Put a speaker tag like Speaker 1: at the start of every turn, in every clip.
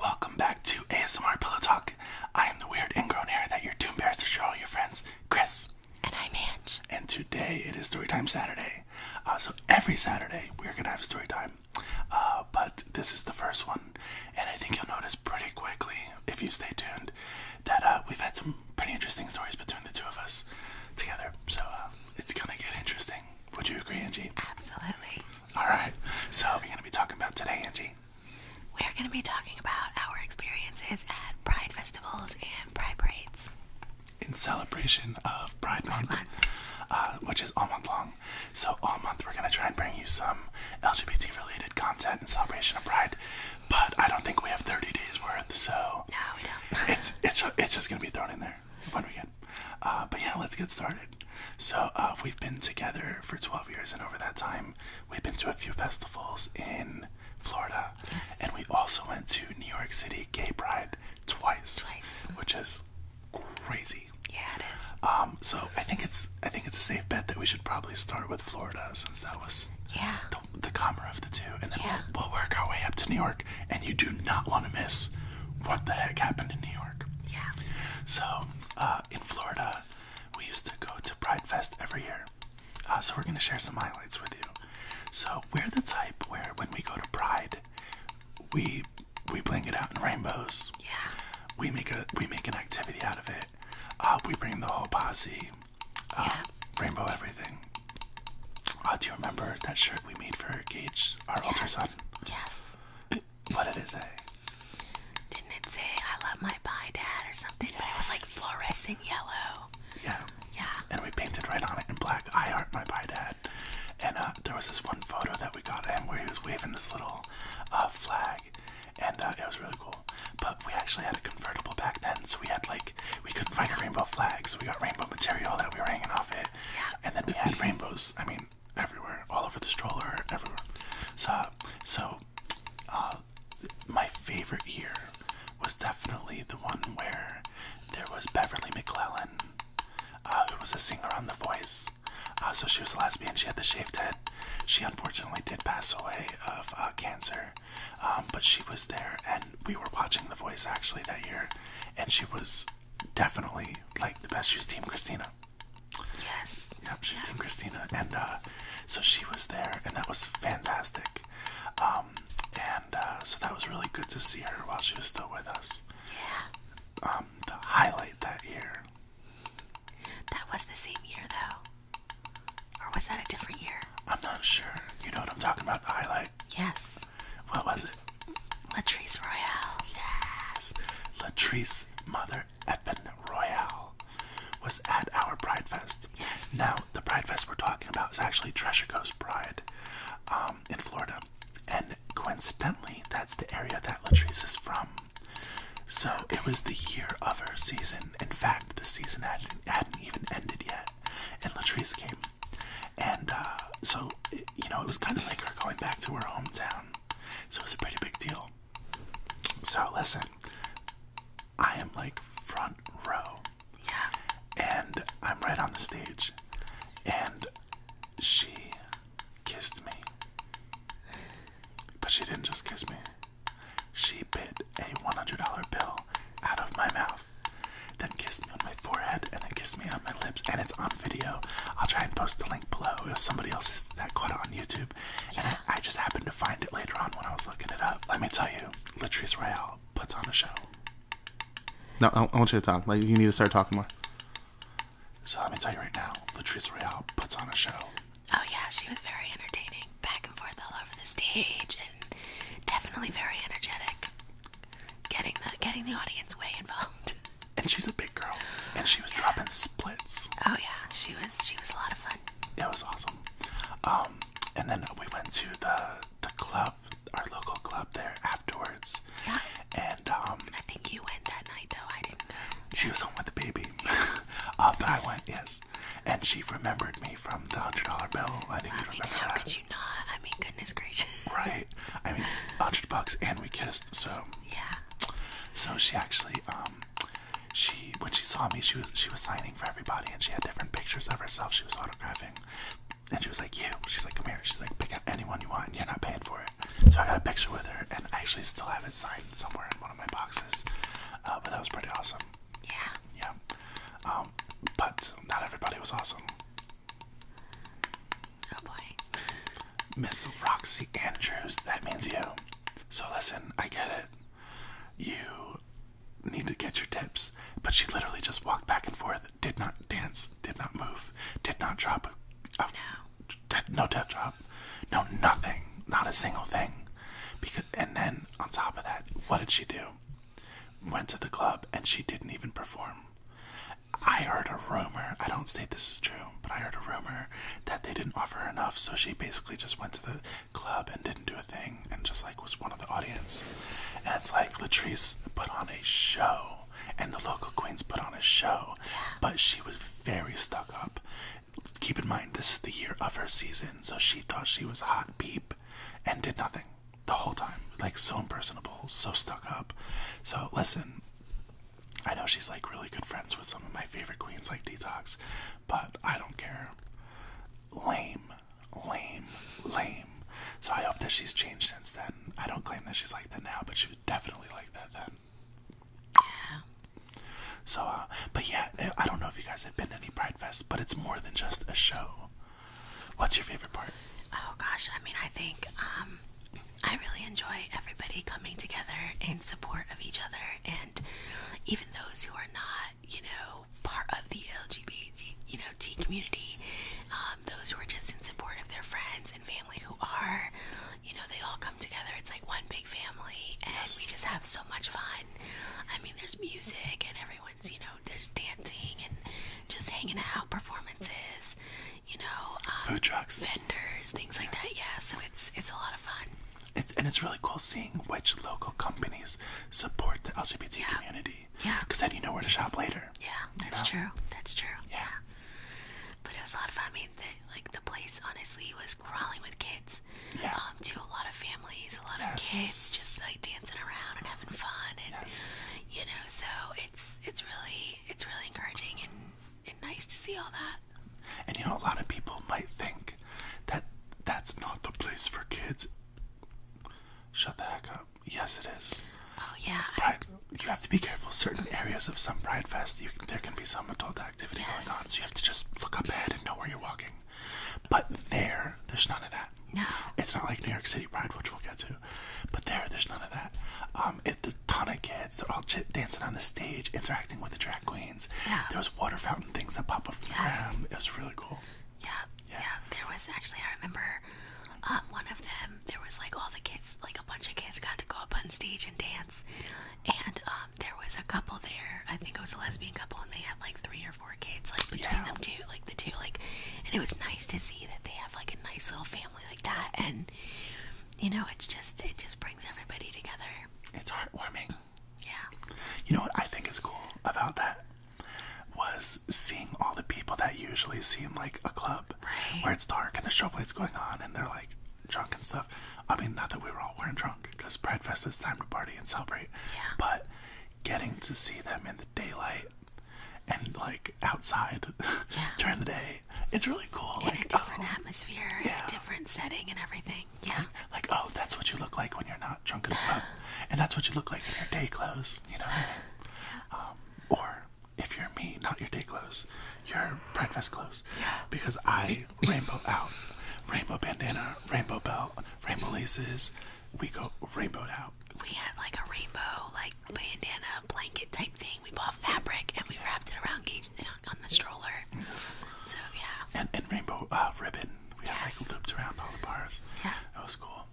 Speaker 1: Welcome back to ASMR Pillow Talk. I am the weird ingrown hair that you're too embarrassed to show all your friends, Chris. And I'm Angie. And today it is Story Time Saturday. Uh, so every Saturday we're gonna have story time, uh, but this is the first one, and I think you'll notice pretty quickly if you stay tuned that uh, we've had some pretty interesting stories between the two of us together. So it's gonna get interesting. Would you agree, Angie? Absolutely. All right. So we're going to be talking about today, Angie.
Speaker 2: We're going to be talking about our experiences at pride festivals and pride parades.
Speaker 1: In celebration of Pride, Month, uh, which is all month long. So, all month we're going to try and bring you some LGBT related content in celebration of Pride. But I don't think we have 30 days worth, so. No, we don't. it's, it's, it's just going to be thrown in there there when uh, but yeah, let's get started. So uh, we've been together for 12 years, and over that time, we've been to a few festivals in Florida, and we also went to New York City Gay Pride twice, which is crazy. Yeah, it is. Um, so I think it's I think it's a safe bet that we should probably start with Florida since that was yeah the, the calmer of the two, and then we'll work our way up to New York. And you do not want to miss what the heck happened in New York. Yeah. So uh, in Florida, we used to go to Pride Fest every year. Uh, so we're gonna share some highlights with you. So we're the type where when we go to Pride, we we bling it out in rainbows. Yeah. We make a we make an activity out of it. Uh, we bring the whole posse. Uh, yeah. Rainbow everything. do you remember that shirt we made for Gage, our yes. older son? Yes. What did it say?
Speaker 2: Didn't it say I love my pie dad or something? But it was like fluorescent yellow.
Speaker 1: Yeah. Yeah. And we painted right on it in black, I heart my pie dad. And uh, there was this one photo that we got him where he was waving this little uh, flag. And uh, it was really cool. But we actually had a convertible back then, so we had like, we couldn't find a rainbow flag, so we got rainbow material that we were hanging off it. Yeah. And then we had rainbows, I mean, everywhere, all over the stroller, everywhere. So, so uh, my favorite year was definitely the one where there was Beverly McClellan, uh, who was a singer on The Voice. Uh, so she was a lesbian. She had the shaved head. She unfortunately did pass away of cancer, um, but she was there, and we were watching The Voice actually that year, and she was definitely like the best. She was Team Christina. Yes. Yep, she's in Christina, and uh, so she was there, and that was fantastic. Um, and uh, so that was really good to see her while she was still with us. Yeah. Um, the highlight that year. That was the same year, though, or was that a different year? I'm not sure. You know what I'm talking about, the highlight. Yes. What was it? Latrice Royale. Yes. Latrice Mother Eppin Royale was at our Pride Fest. Now, the Pride Fest we're talking about is actually Treasure Coast Pride um, in Florida. And coincidentally, that's the area that Latrice is from. So it was the year of her season. In fact, the season hadn't, even ended yet. And Latrice came. And uh, so, you know, it was kind of like her going back to her hometown. So it's a pretty big deal. So listen, I am like front row. And I'm right on the stage. And she kissed me. But she didn't just kiss me. She bit a $100 bill out of my mouth, then kissed me on my forehead, and then kissed me on my lips, and it's on video. I'll try and post the link link below. somebody else's that caught it on YouTube, and I, just happened to find it later on when I was looking it up. Let me tell you, Latrice Royale puts on a show. No, I, I want you to talk. Like you need to start talking more. So let me tell you right now, Latrice Royale puts on a show.
Speaker 2: Oh yeah, she was very entertaining, back and forth all over the stage, and definitely very energetic. Getting the getting the audience way involved. and she's a big girl,
Speaker 1: and she was dropping splits. Oh yeah, she was. She was a lot of fun. It was awesome. Um, and then we went to the the club, our local club there afterwards. Yeah. And um, I think you went that night though. I didn't. She was home with the baby, uh, but I went yes, and she remembered me from the hundred dollar bill. I think well, you I remember that. How could you not? I mean, goodness gracious. Right. I mean, hundred bucks, and we kissed. So yeah. So she actually, um, she when she saw me, she was she was signing for everybody, and she had different pictures of herself. She was autographing, and she was like, "You." She's like, "Come here." She's like, "Pick out anyone you want, and you're not paying for it." So I got a picture with her, and I actually still have it signed somewhere in one of my boxes. Uh, but that was pretty awesome. Yeah. Yeah. Um, but not everybody was awesome. Oh boy. Miss Roxy Andrews, that means you. So listen, I get it. You need to get your tips. But she literally just walked back and forth, did not dance, did not move, did not drop a, no. Death, no drop. No nothing. Not a single thing. Because and then on top of that, what did she do? Went to the club and she didn't even perform. I heard a rumor. I don't state this is true, but I heard a rumor that they didn't offer her enough, so she basically just went to the club and didn't do a thing, and just like was one of the audience. And it's like Latrice put on a show, and the local queens put on a show, but she was very stuck up. Keep in mind, this is the year of her season, so she thought she was hot peep, and did nothing the whole time. Like so impersonable, so stuck up. So listen. I know she's like really good friends with some of my favorite queens like Detox, but I don't care. Lame, lame, lame. So I hope that she's changed since then. I don't claim that she's like that now, but she was definitely like that then. Yeah. So, uh, but yeah, eh, I don't know if you guys have been to any Pride Fest, but it's more than just a show. What's your favorite part? Oh gosh, I mean, I think um,
Speaker 2: I really enjoy everybody coming together in support of each other, and even those who are not, you know, part of the LGBT, you know, T community. Um, those who are just in support of their friends and family who are, you know, they all come together. It's like one big family, and we just have so much fun. I mean, there's music, and everyone's, you know, there's dancing and just hanging out,
Speaker 1: performances you know, um, food trucks, vendors, things like that. Yeah, so it's it's a lot of fun. It's and it's really cool seeing which local companies support the LGBT community. Yeah, because then you know where to shop later. Yeah, that's true. That's true. Yeah. but it was a lot of fun. I mean, like the place honestly
Speaker 2: was crawling with kids. Yeah, um, to a lot of families, a lot of kids just like dancing around and having fun, and you know, so it's it's really it's really encouraging
Speaker 1: and it's nice
Speaker 2: to see all that.
Speaker 1: And you know, a lot of people might think that that's not the place for kids. Shut the heck up. Yes, it is. Oh yeah. Pride, you have to be careful. Certain areas of some Pride Fest, there can be some adult activity going on, so you have to just look ahead and know where you're walking. But there, there's none of that. No. It's not like New York City Pride, which we'll get to. But there, there's none of that. Um, it, a ton of kids. They're all dancing on the stage, interacting with the drag queens. Yeah. There was water fountain things that pop up from It was really cool. Yeah, yeah. There was actually, I remember,
Speaker 2: uh, one of them. There was like all the kids, like a bunch of kids, got to go up on stage and dance. And um, there was a couple there. I think it was a lesbian couple, and they had like three or four kids, like between them two, like the two, like. And it was nice to see that they have like a nice little family like that, and you know, it's just it just brings everybody
Speaker 1: together. It's heartwarming. Yeah. You know what I think is cool about that was seeing all the people that usually seem like a club where it's dark and the show plate's going on and they're like drunk and stuff. I mean, not that we were all wearing drunk because Pride Fest is time to party and celebrate. Yeah. But getting to see them in the daylight and like outside during the day it's really cool. In like, oh. a different atmosphere, yeah.
Speaker 2: a different setting, and everything.
Speaker 1: Yeah. Like, oh, that's what you look like when you're not drunken up, and that's what you look like in your day clothes. You know. Um, or if you're me, not your day clothes, your breakfast clothes. Yeah. Because I rainbow out, rainbow bandana, rainbow belt, rainbow laces. We go rainbow out. We had like a rainbow like bandana blanket type thing we bought fabric and we wrapped it around Gage on the stroller. So yeah. And, rainbow uh, ribbon. We had like looped around all the bars. Yeah. That was cool.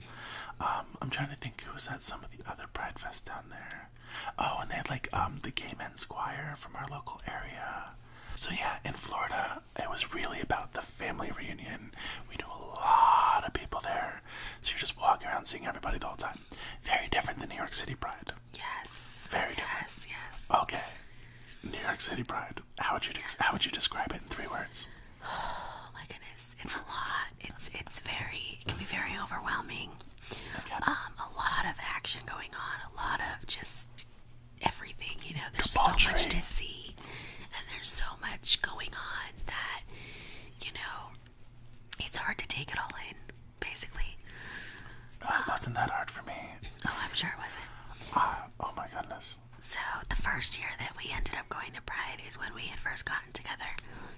Speaker 1: Um, I'm trying to think who was at some of the other Pride Fest down there. Oh, and they had like um, the gay men squire from our local area. So yeah, in Florida, it was really about the family reunion. We knew a lot of people there, so you're just walking around seeing everybody the whole time. Very different than New York City Pride. Yes. Very yes, Yes. Okay. New York City Pride. How would you how would you describe it in three words? Oh my goodness, it's a lot. It's
Speaker 2: it's very it can be very overwhelming. Um, a lot of action going on. A lot of just everything. You know, there's so much to see, and there's so much going on that you know it's hard to take it all in, basically. No, it wasn't that hard for me. Oh, I'm sure it wasn't. Uh, oh my goodness. So, the first year that we ended up going to Pride is when we had first gotten together.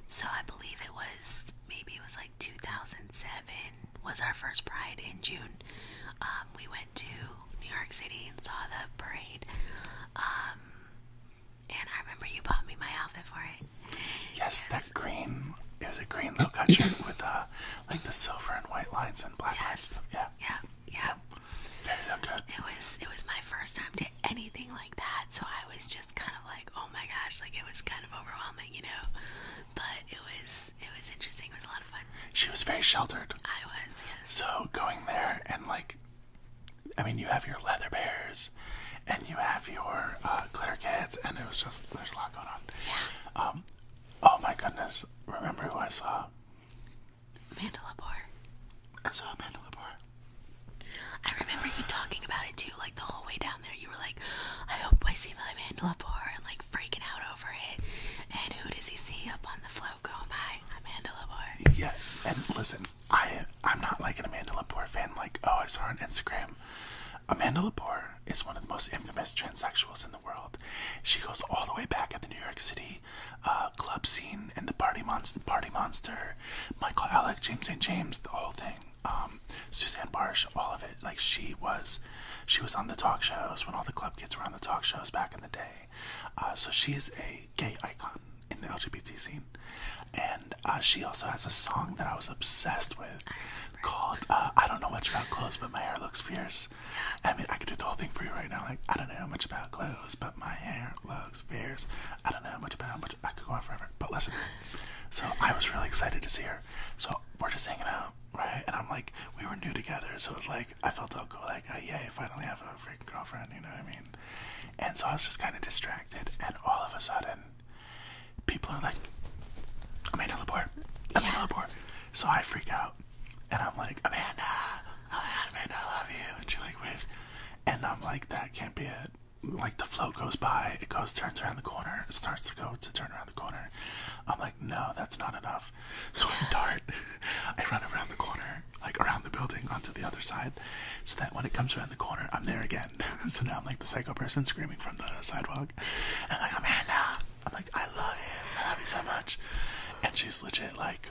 Speaker 2: So, I believe it was maybe it was like 2007 was our first Pride in June. Um, we went to New York City and saw
Speaker 1: the parade. Um, and I remember you bought me my outfit for it. Yes, that green. It was a green little cut with uh, like the silver and white lines and black yes. Yeah. Yeah. Yeah. Very good. It was. It was my
Speaker 2: first time to anything like that, so I was just kind of like, oh my gosh, like it was kind of overwhelming, you know.
Speaker 1: But it was. It was interesting. It was a lot of
Speaker 2: fun. She was very sheltered.
Speaker 1: I was. Yes. So going there and like. I mean, you have your leather bears and you have your uh, kids, and it was just there's a lot going on. Yeah. Um, oh my goodness! Remember who I saw? Amanda Lepore. I saw Amanda Lepore. I remember you talking about it too, like the whole way down
Speaker 2: there. You were like, "I hope I see Amanda Lepore," and like freaking
Speaker 1: out over it. And who does he see up on the float? Go, my Amanda Lepore. Yes, and listen, I I'm not like an Amanda Lepore fan, like, oh, I saw her on Instagram. Amanda Lepore is one of the most infamous transsexuals in the world. She goes all the way back at the New York City uh, club scene and the Party Monster, Michael Alec, James St. James, the whole thing. Um, Suzanne Barsh, all of it. Like she was, she was on the talk shows when all the club kids were on the talk shows back in the day. Uh, so she is a gay icon in the LGBT scene and uh, she also has a song that I was obsessed with called uh, "I Don't Know Much About Clothes, But My Hair Looks Fierce." I mean, I could do the whole thing for you right now. Like, I don't know much about clothes, but my hair looks fierce. I don't know much about, much. I could go on forever. But listen, so I was really excited to see her. So we're just hanging out, right? And I'm like, we were new together, so it's like I felt so cool. Like, uh, yay, finally have a freaking girlfriend. You know what I mean? And so I was just kind of distracted, and all of a sudden, people are like, Amanda Lepore, Amanda yeah. So I freak out, and I'm like, Amanda, oh Amanda, I love you. And she like waves, and I'm like, that can't be it. Like the float goes by, it goes, turns around the corner, it starts to go to turn around the corner. I'm like, no, that's not enough. So I dart, I run around the corner, like around the building onto the other side, so that when it comes around the corner, I'm there again. so now I'm like the psycho person screaming from the sidewalk. And I'm like, Amanda, I'm like, I love him. I love you so much. And she's legit like.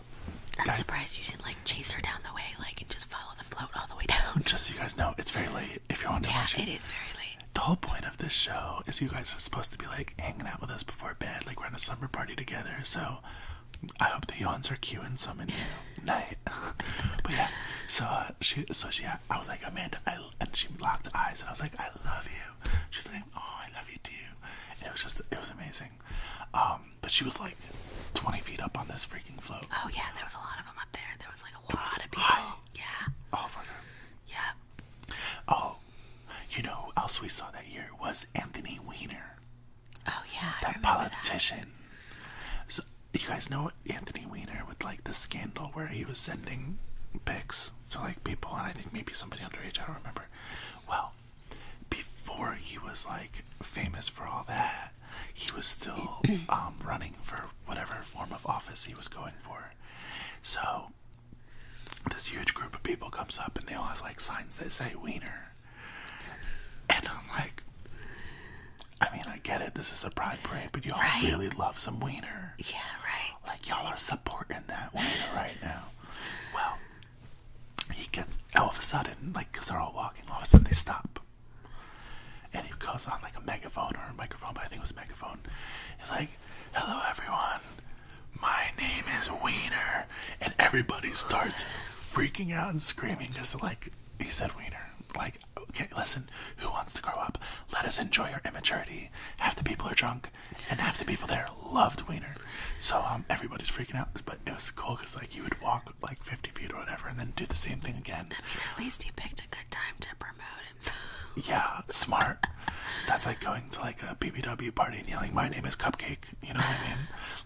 Speaker 1: I'm surprised you didn't like chase her down the way, like, and just follow the float all the way down. Just so you guys know, it's very late. If you're on yeah, it is very late. The whole point of this show is you guys are supposed to be like hanging out with us before bed, like we're in a summer party together. So I hope the yawns are cueing some in you night. but yeah, so uh, she, so she, I was like, Amanda, and she locked eyes, and I was like, I love you. She's like, oh, I love you too. And it was just, it was amazing. Um, but she was like 20 feet up on this freaking float. Oh yeah, there was a lot of them up there. There was like a lot of people. High. Yeah. Oh my god. Yeah. Oh, you know who else we saw that year was Anthony Weiner. Oh yeah. That I politician. So you guys know Anthony Weiner with like the scandal where he was sending pics to like people, and I think maybe somebody underage, I don't remember. Well, before he was like famous for all that, he was still um, running for whatever form of office he was going for. So, this huge group of people comes up and they all have like signs that say Weiner, And I'm like, I mean, I get it. This is a pride parade, but y'all all really love some wiener. Yeah, right. Like y'all are supporting that wiener right now. Well, he gets all of a sudden, like, cause they're all walking. All of a sudden, they stop, and he goes on like a megaphone or a microphone, but I think it was megaphone. He's like, "Hello, everyone. My name is Wiener," and everybody starts freaking out and screaming because, like, he said Wiener. Like okay, listen, who wants to grow up? Let us enjoy our immaturity. Half the people are drunk, and half the people there loved Wiener. So um, everybody's freaking out, but it was cool because like you would walk like 50 feet or whatever, and then do the same thing again. at least he picked a good time to promote himself. yeah, smart. That's like going to like a BBW party and yelling, "My name is Cupcake." You know what I mean?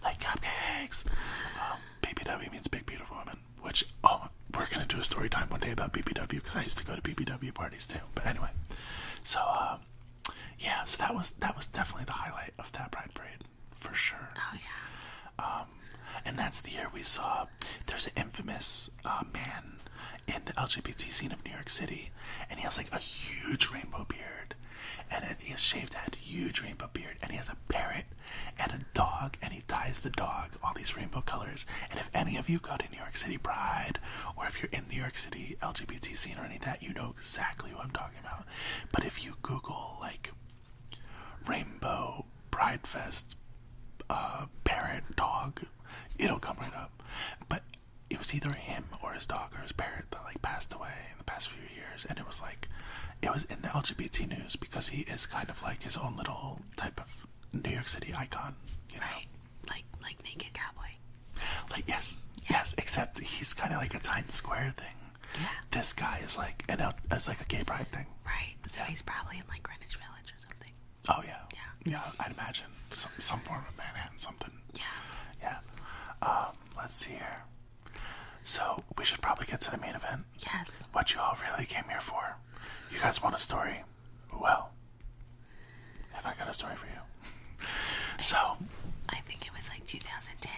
Speaker 1: Like cupcakes. Um, BBW means big beautiful woman which oh, we're gonna do a story time one day about BBW because I used to go to BBW parties too. But anyway, so um, yeah, so that was that was definitely the highlight of that Pride Parade for sure. Oh yeah. Um, and that's the year we saw there's an infamous uh, man in the LGBT scene of New York City, and he has like a huge rainbow beard, and he has shaved head, huge rainbow beard, and he has a parrot and a dog, and he ties the dog all these rainbow colors. And if any of you go to New York City Pride, or if you're in New York City LGBT scene or any of that, you know exactly what I'm talking about. But if you Google like rainbow Pride Fest uh, parrot dog, it'll come right up. But it was either him or his dog or his parrot that like passed away in the past few years, and it was like it was in the LGBT news because he is kind of like his own little type of New York City icon, you know, like like Naked Cowboy. Like yes, yes. Except he's kind of like a Times Square thing. Yeah. This guy is like an out as like a gay pride thing. Right. So he's probably in like Greenwich Village or something. Oh yeah. Yeah. Yeah. I'd imagine some some form of Manhattan something. Yeah. Yeah. Um. Let's see here. So we should probably get to the main event. Yes. What you all really came here for. You guys want a story? Well, have I got a story for you? so, I think it was like 2010.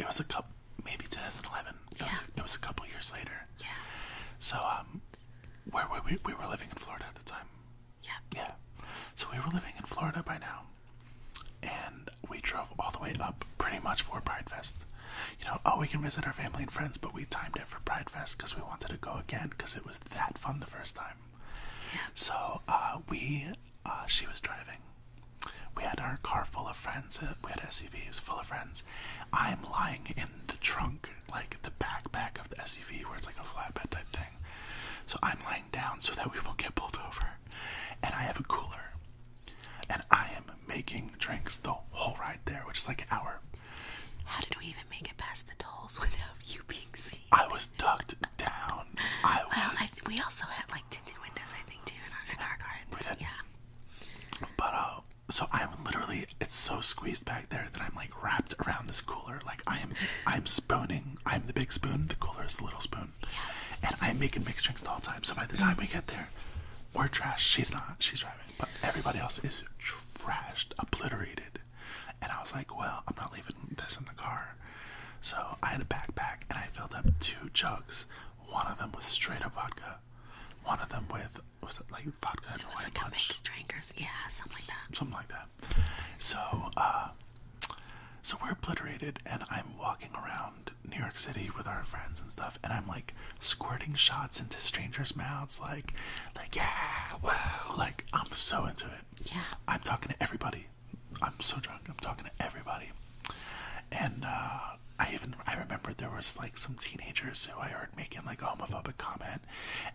Speaker 1: It was a couple, maybe 2011. It, yeah. was a, it was a couple years later. Yeah. So, um, where we? We were living in Florida at the time. Yeah. Yeah. So we were living in Florida by now, and we drove all the way up pretty much for Pride Fest you know, oh, we can visit our family and friends, but we timed it for Pride Fest because we wanted to go again because it was that fun the first time. Yeah. So uh, we, uh, she was driving. We had our car full of friends. Uh, we had SUVs full of friends. I'm lying in the trunk, like the back of the SUV, where it's like a flatbed type thing. So I'm lying down so that we won't get pulled over. And I have a cooler and I am making drinks the whole ride there, which is like an hour. How did we even make it past the tolls without you being seen? I was ducked down. I
Speaker 2: was. Well, we also had like tinted windows, I
Speaker 1: think, too, in our, in our car. We did. Yeah. But uh, so I'm literally it's so squeezed back there that I'm like wrapped around this cooler. Like I am, I'm spooning. I'm the big spoon. The cooler is the little spoon. Yeah. And I'm making mixed drinks the whole time. So by the time we get there, we're trash. She's not. She's driving. But everybody else is trashed, obliterated. And I was like, well, I'm not leaving this in the car. So I had a backpack and I filled up two jugs. One of them was straight up vodka. One of them with was it like vodka and it was like punch? drinkers, yeah, something like that. Something like that. So, uh, so we're obliterated, and I'm walking around New York City with our friends and stuff, and I'm like squirting shots into strangers' mouths, like, like yeah, whoa, like I'm so into it. Yeah, I'm talking to everybody. I'm so drunk. I'm talking to everybody, and uh, I even I remember there was like some teenagers who I heard making like a homophobic comment,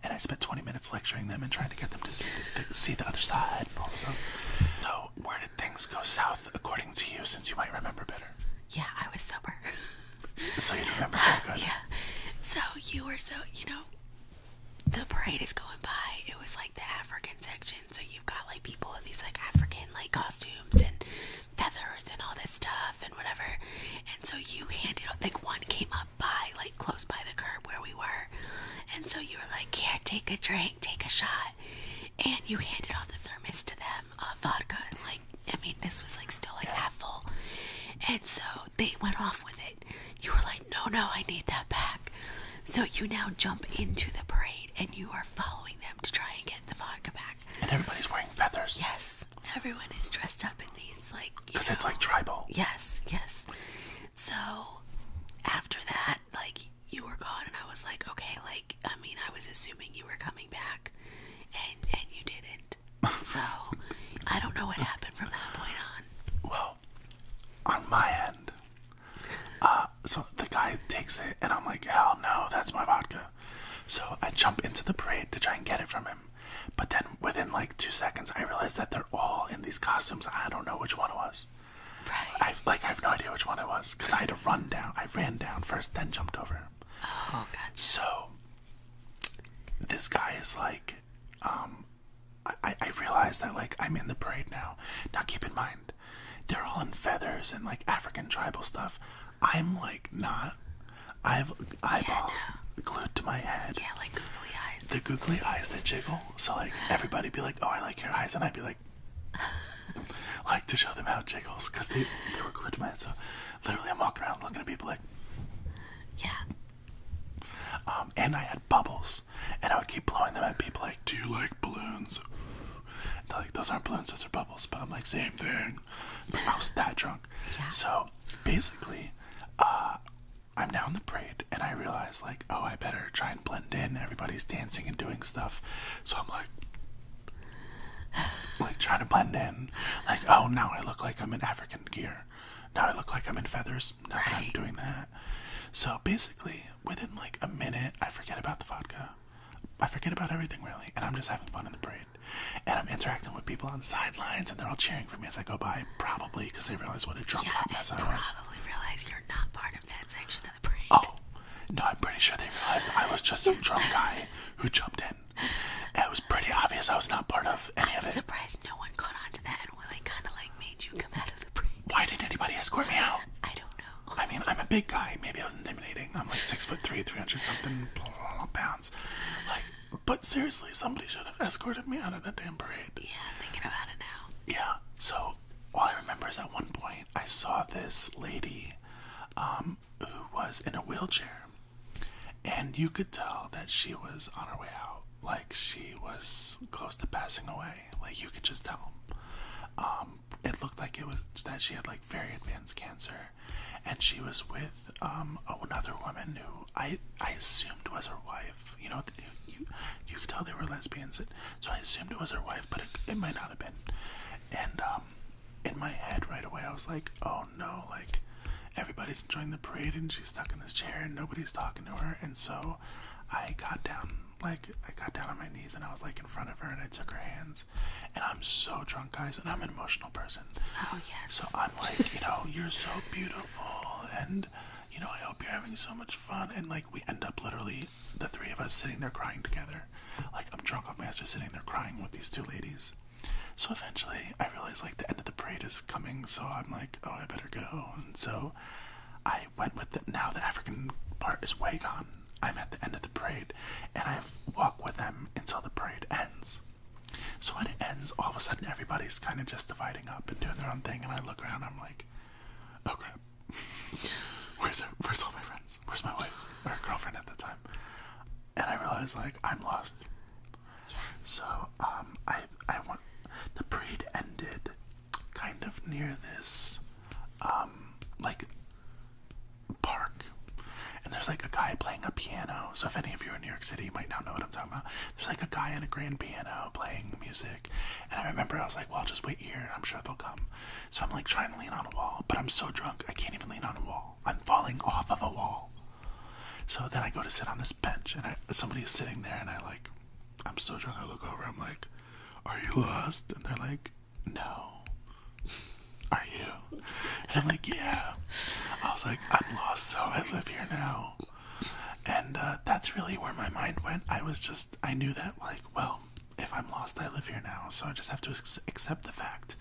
Speaker 1: and I spent 20 minutes lecturing them and trying to get them to see the, see the other side and So where did things go south according to you, since you might remember better?
Speaker 2: Yeah, I was sober.
Speaker 1: so you remember that Yeah.
Speaker 2: So you were so you know the parade is going by. It was like the African section, so you've got like people with these like African like costumes and feathers and all this stuff and whatever. And so you handed out like one came up by like close by the curb where we were. And so you were like, Here, take a drink, take a shot and you handed off the thermos to them uh, vodka and like I mean this was like still like half full and so they went off with it you were like no no I need that back so you now jump into the parade and you are following them to try and get the vodka back and everybody's wearing feathers yes everyone is dressed up in these like because it's like tribal yes yes so after that like you were gone and I was like okay like I mean I was assuming you were coming back and and you didn't. So
Speaker 1: I don't know what happened from that point on. Well, on my end, uh, so the guy takes it, and I'm like, hell no, that's my vodka. So I jump into the parade to try and get it from him, but then within like two seconds, I realize that they're all in these costumes. I don't know which one it was. Right. I like I have no idea which one it was because I had to run down. I ran down first, then jumped over Oh, gotcha. So this guy is like, um, I, I realize that like I'm in the parade now. Now keep in mind, they're all in feathers and like African tribal stuff. I'm like not. I have eyeballs glued to my head. Yeah, like googly eyes. The googly eyes that jiggle. So like everybody be like, oh, I like your eyes, and I'd be like, like to show them how it jiggles because they they were glued to my head. So literally, I'm walking around looking at people like, yeah. Um, and I had bubbles, and I would keep blowing them at people like, do you like balloons? they're like, those aren't balloons, those are bubbles. But I'm like, same thing. But I was that drunk. So basically, uh, I'm now in the parade, and I realize like, oh, I better try and blend in. Everybody's dancing and doing stuff, so I'm like, like trying to blend in. Like, oh, now I look like I'm in African gear. Now I look like I'm in feathers. Now right. that I'm doing that. So basically, within like a minute, I forget about the vodka. I forget about everything really, and I'm just having fun in the parade. And I'm interacting with people on the sidelines, and they're all cheering for me as I go by, probably because they realize what a drunk yeah, hot mess I was. Probably realize you're not part of that section of the parade. Oh, no, I'm pretty sure they realize I was just some drunk guy who jumped in it was pretty obvious I was not part of any of it. I'm surprised no one caught on to that and really kind of like made you come out of the break. Why did anybody escort me out? I don't know. I mean, I'm a big guy. Maybe I was intimidating. I'm like six foot three, three hundred something pounds. Like, but seriously, somebody should have escorted me out of that damn parade. Yeah, thinking about it now. Yeah. So all I remember is at one point I saw this lady. Um, who was in a wheelchair. And you could tell that she was on her way out, like she was close to passing away. Like you could just tell. Um, it looked like it was that she had like very advanced cancer, and she was with um another woman who I I assumed was her wife. You know, you you could tell they were lesbians, so I assumed it was her wife, but it, it might not have been. And um, in my head right away, I was like, oh no, like everybody's enjoying the parade and she's stuck in this chair and nobody's talking to her. And so I got down, like, I got down on my knees and I was like in front of her and I took her hands. And I'm so drunk, guys, and I'm an emotional person. Oh, yes. So I'm like, you know, you're so beautiful and you know, I hope you're having so much fun. And like, we end up literally the three of us sitting there crying together. Like I'm drunk off on master sitting there crying with these two ladies. So eventually I realize like the end of the parade is coming, so I'm like, oh I better go. And so I went with it. now the African part is way gone. I'm at the end of the parade and I walk with them until the parade ends. So when it ends, all of a sudden everybody's kind of just dividing up and doing their own thing, and I look around, I'm like, oh crap, where's where's all my friends? Where's my wife or girlfriend at the time? and I realized like I'm lost. Yeah. So um, I I want the parade ended kind of near this um like park, and there's like a guy playing a piano. So if any of you are in New York City, you might not know what I'm talking about. There's like a guy on a grand piano playing music, and I remember I was like, well, just wait here. I'm sure they'll come. So I'm like trying to lean on a wall, but I'm so drunk I can't even lean on a wall. I'm falling off of a wall. So then I go to sit on this bench, and somebody is sitting there, and I like, I'm so drunk. I look over. I'm like, "Are you lost?" And they're like, "No." Are you? And I'm like, "Yeah." I was like, "I'm lost, so I live here now." And uh, that's really where my mind went. I was just, I knew that, like, well, if I'm lost, I live here now, so I just have to accept the fact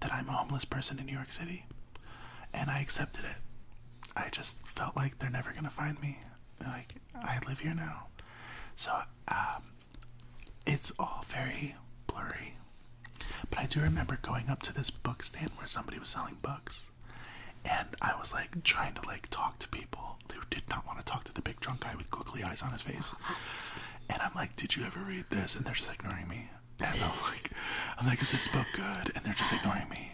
Speaker 1: that I'm a homeless person in New York City. And I accepted it. I just felt like they're never gonna find me. Like, I live here now. So, um, it's all very blurry. But I do remember going up to this book stand where somebody was selling books. And I was like trying to like talk to people who did not want to talk to the big drunk guy with googly eyes on his face. And I'm like, did you ever read this? And they're just ignoring me. And I'm like, I'm like, is this book good? And they're just ignoring me.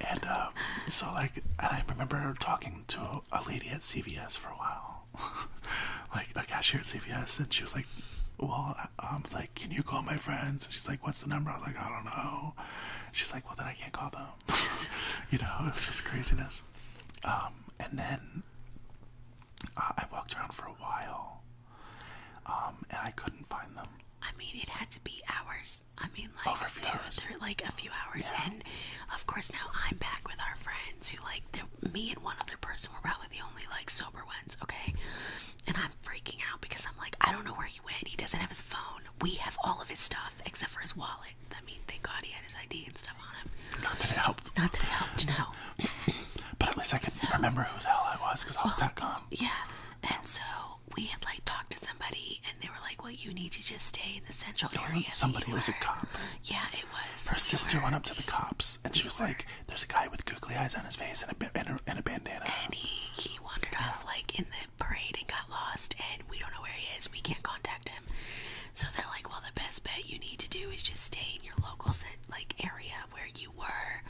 Speaker 1: And um, so like, and I remember talking to a lady at CVS for a while, like a cashier at CVS, and she was like, well, I'm um, like, can you call my friends? she's like, what's the number? I was like, I don't know. she's like, well, then I can't call them. you know, it's just craziness. Um, and then uh, I walked around for a while, um, and I couldn't find them. I mean, it had to be hours. I mean, like Over a two hours. or like a few hours. And
Speaker 2: of course, now I'm back with our friends who, like, me and one other person were probably the only like sober ones. Okay, and I'm freaking out because I'm like, I don't know where he went. He doesn't have his phone. We have all of his stuff except for his wallet. I mean, thank God he had his ID and stuff. Not that it helped. Not that it helped, no. but at least I could remember who the hell I was because I was that calm. Yeah. And so we had like talked to somebody and they were like, Well, you need to just stay in the central
Speaker 1: area. Somebody it was a cop. Yeah, it was. Her sister went up to the cops and she was like, There's a guy with googly eyes on his face and a, bandana. And he, he wandered off like in the parade and got lost and we don't know where he is. We can't
Speaker 2: contact him. So they're like, Well, the best bet you need to do is just stay in your local city." like area where you were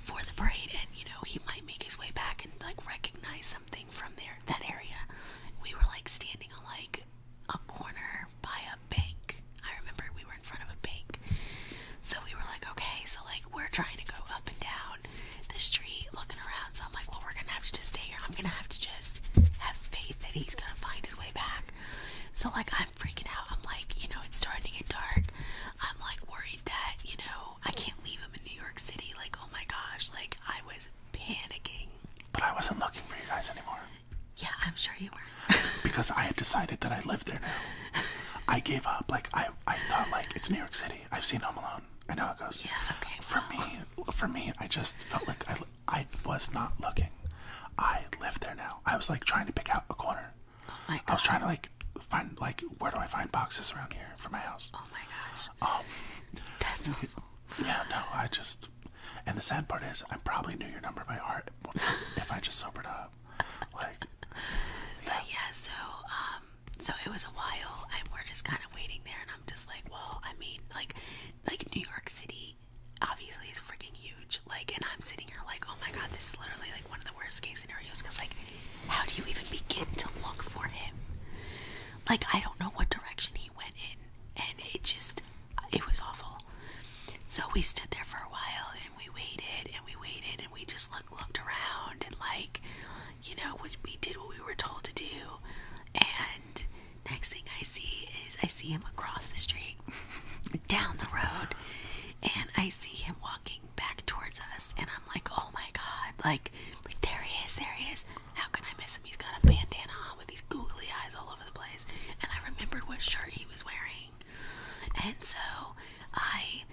Speaker 2: for the parade and you know he might make his way back and like recognize something from there that area we were like standing on like a corner by a bank i remember we were in front of a bank so we were like okay so like we're trying to go up and down the street looking around so i'm like well we're gonna have to just stay here i'm gonna have to just have faith that he's gonna find his way back so like I'm freaking out. I'm like, you know, it's starting to get dark. I'm like worried that, you know, I can't
Speaker 1: leave him in New York City. Like, oh my gosh, like I was panicking. But I wasn't looking for you guys anymore. Yeah, I'm sure you were. because I had decided that I lived there now. I gave up. Like I, I thought like it's New York City. I've seen Home Alone. I know it goes. Yeah. Okay. For me, for me, I just felt like I, I was not looking. I live there now. I was like trying to pick out a corner. Oh my god. I was trying to like find like where do I find boxes around here for my house. Oh my gosh. Um Yeah, no, I just and the sad part is I probably knew your number by heart if I just sobered up. Like But yeah, so um so it was a while
Speaker 2: and we're just kinda waiting there and I'm just like, well, I mean like like New York City obviously it's freaking huge. Like, and I'm sitting here like, oh my god, this is literally like one of the worst case scenarios. Cause like, how do you even begin to look for him? Like, I don't know what direction he went in, and it just, it was awful. So we stood there for a while, and we waited, and we waited, and we just looked, looked around, and like, you know, we did what we were told to do, and next thing I see is I see him across the street down the road and I see him walking back towards us and I'm like, oh my god, like like there he is, there he is. How can I miss him? He's got a bandana on with these googly eyes all over the place. And I remembered what shirt he was wearing. And so I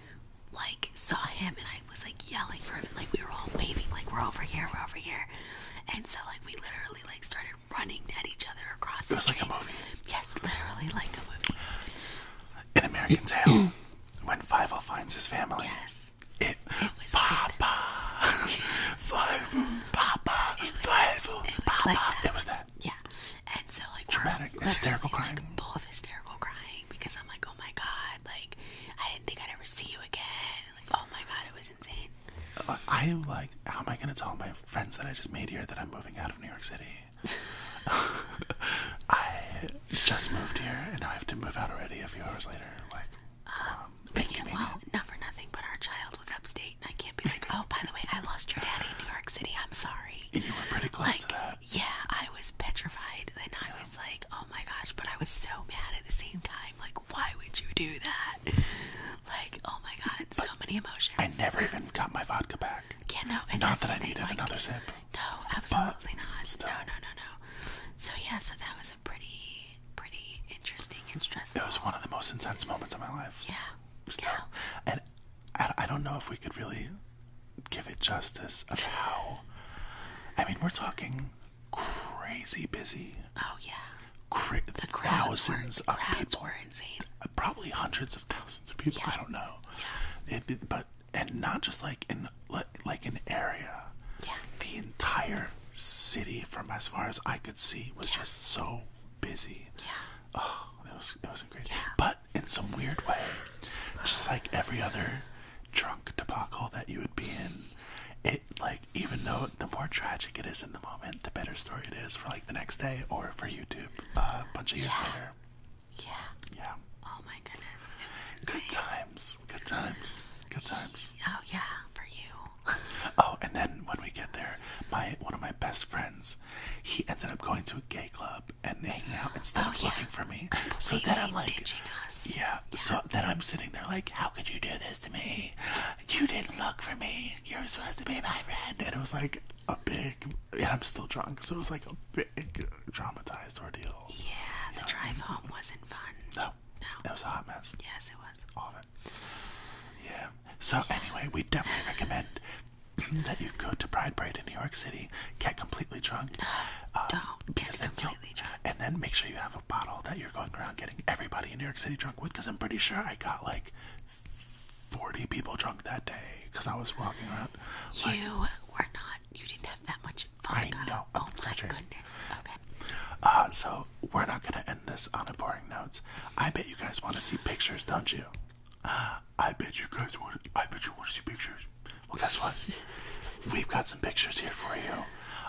Speaker 2: like saw him and I was like yelling for him like we were all waving like we're over here, we're over here. And so like we literally
Speaker 1: like started running at each other across. It was like a movie. Yes, literally like a movie. In American Tail, when Five-O finds his family. Yes. It, was Papa. Like Papa. Five-O,
Speaker 2: Papa. it was that. Yeah. And so like dramatic, hysterical crying. Like, full of hysterical
Speaker 1: crying because I'm like, oh my god, like I didn't think I'd ever see you again. like, oh my god, it was insane. Uh, I am like, how am I gonna tell my friends that I just made here that I'm moving out? of? New York City. I just moved here, and I have to move out already. A few hours later, like, um, um well, not for nothing, but
Speaker 2: our child was upstate, and I can't be like, oh, by the way, I lost your daddy in New York City. I'm sorry. You were pretty close to that. Yeah, I was petrified, and I was like, oh my gosh, but I was so mad at the same time. Like, why would you do that? like, oh my god, so many emotions. I
Speaker 1: never even got my vodka back. Yeah, no, and not that I needed another sip.
Speaker 2: No, absolutely not.
Speaker 1: No, no, no, no. So yeah, so that was a pretty, pretty interesting and stressful. It was one of the most intense moments of my life. Yeah. Still, and I don't know if we could really give it justice of how. I mean, we're talking crazy busy. Oh yeah the thousands were, of people. Were insane. Uh, probably hundreds of thousands of people. I don't know. Yeah. It, but and not just like in like an area. Yeah. The entire city, from as far as I could see, was just so busy. Yeah. Oh, it was it wasn't Yeah. But in some weird way, just like every other drunk debacle that you would be in, it like even though the more tragic it is in the moment the better story it is for like the next day or for YouTube uh, a bunch of years later. Yeah. Yeah. Oh my goodness. Good times. Good times. Good times. Oh yeah, for you. oh, and then when we get there, my one of my best friends, he ended up going to a gay club and hanging out instead of oh, looking for me. Completely so then I'm like, Yeah, yeah. So then I'm sitting there like, how could you do this to me? You didn't look for me. You're supposed to be my friend. And it was like, a big, yeah, I'm still drunk, so it was like a big traumatized ordeal. Yeah, the drive home wasn't fun. No, no, it was a hot mess. Yes, it was. All of it. Yeah. So anyway, we definitely recommend that you go to Pride Parade in New York City, get completely drunk. Don't um, because get completely drunk. And then make sure you have a bottle that you're going around getting everybody in New York City drunk with, because I'm pretty sure I got like 40 people drunk that day because I was walking around. you were not, you didn't have that much vodka. I know. oh my goodness. Okay. Uh, so we're not going to end this on a boring note. I bet you guys want to see pictures, don't you? I bet you guys want I bet you want to see pictures. Well, guess what? We've got some pictures here for you.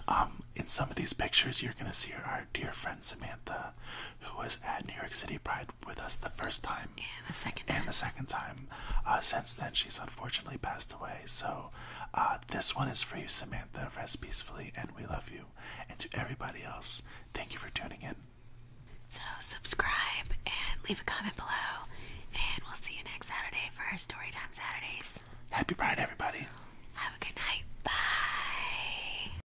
Speaker 1: Um, in some of these pictures, you're going to see our dear friend Samantha, who was at New York City Pride with us the first time and the second time. And the second time. Uh, since then, she's unfortunately passed away. So, uh, this one is for you, Samantha. Rest peacefully, and we love you. And to everybody else, thank you for tuning in. So, subscribe and leave a comment
Speaker 2: below. And we'll see you next Saturday for our Story Time Saturdays. Happy Pride, everybody. Have a good night. Bye.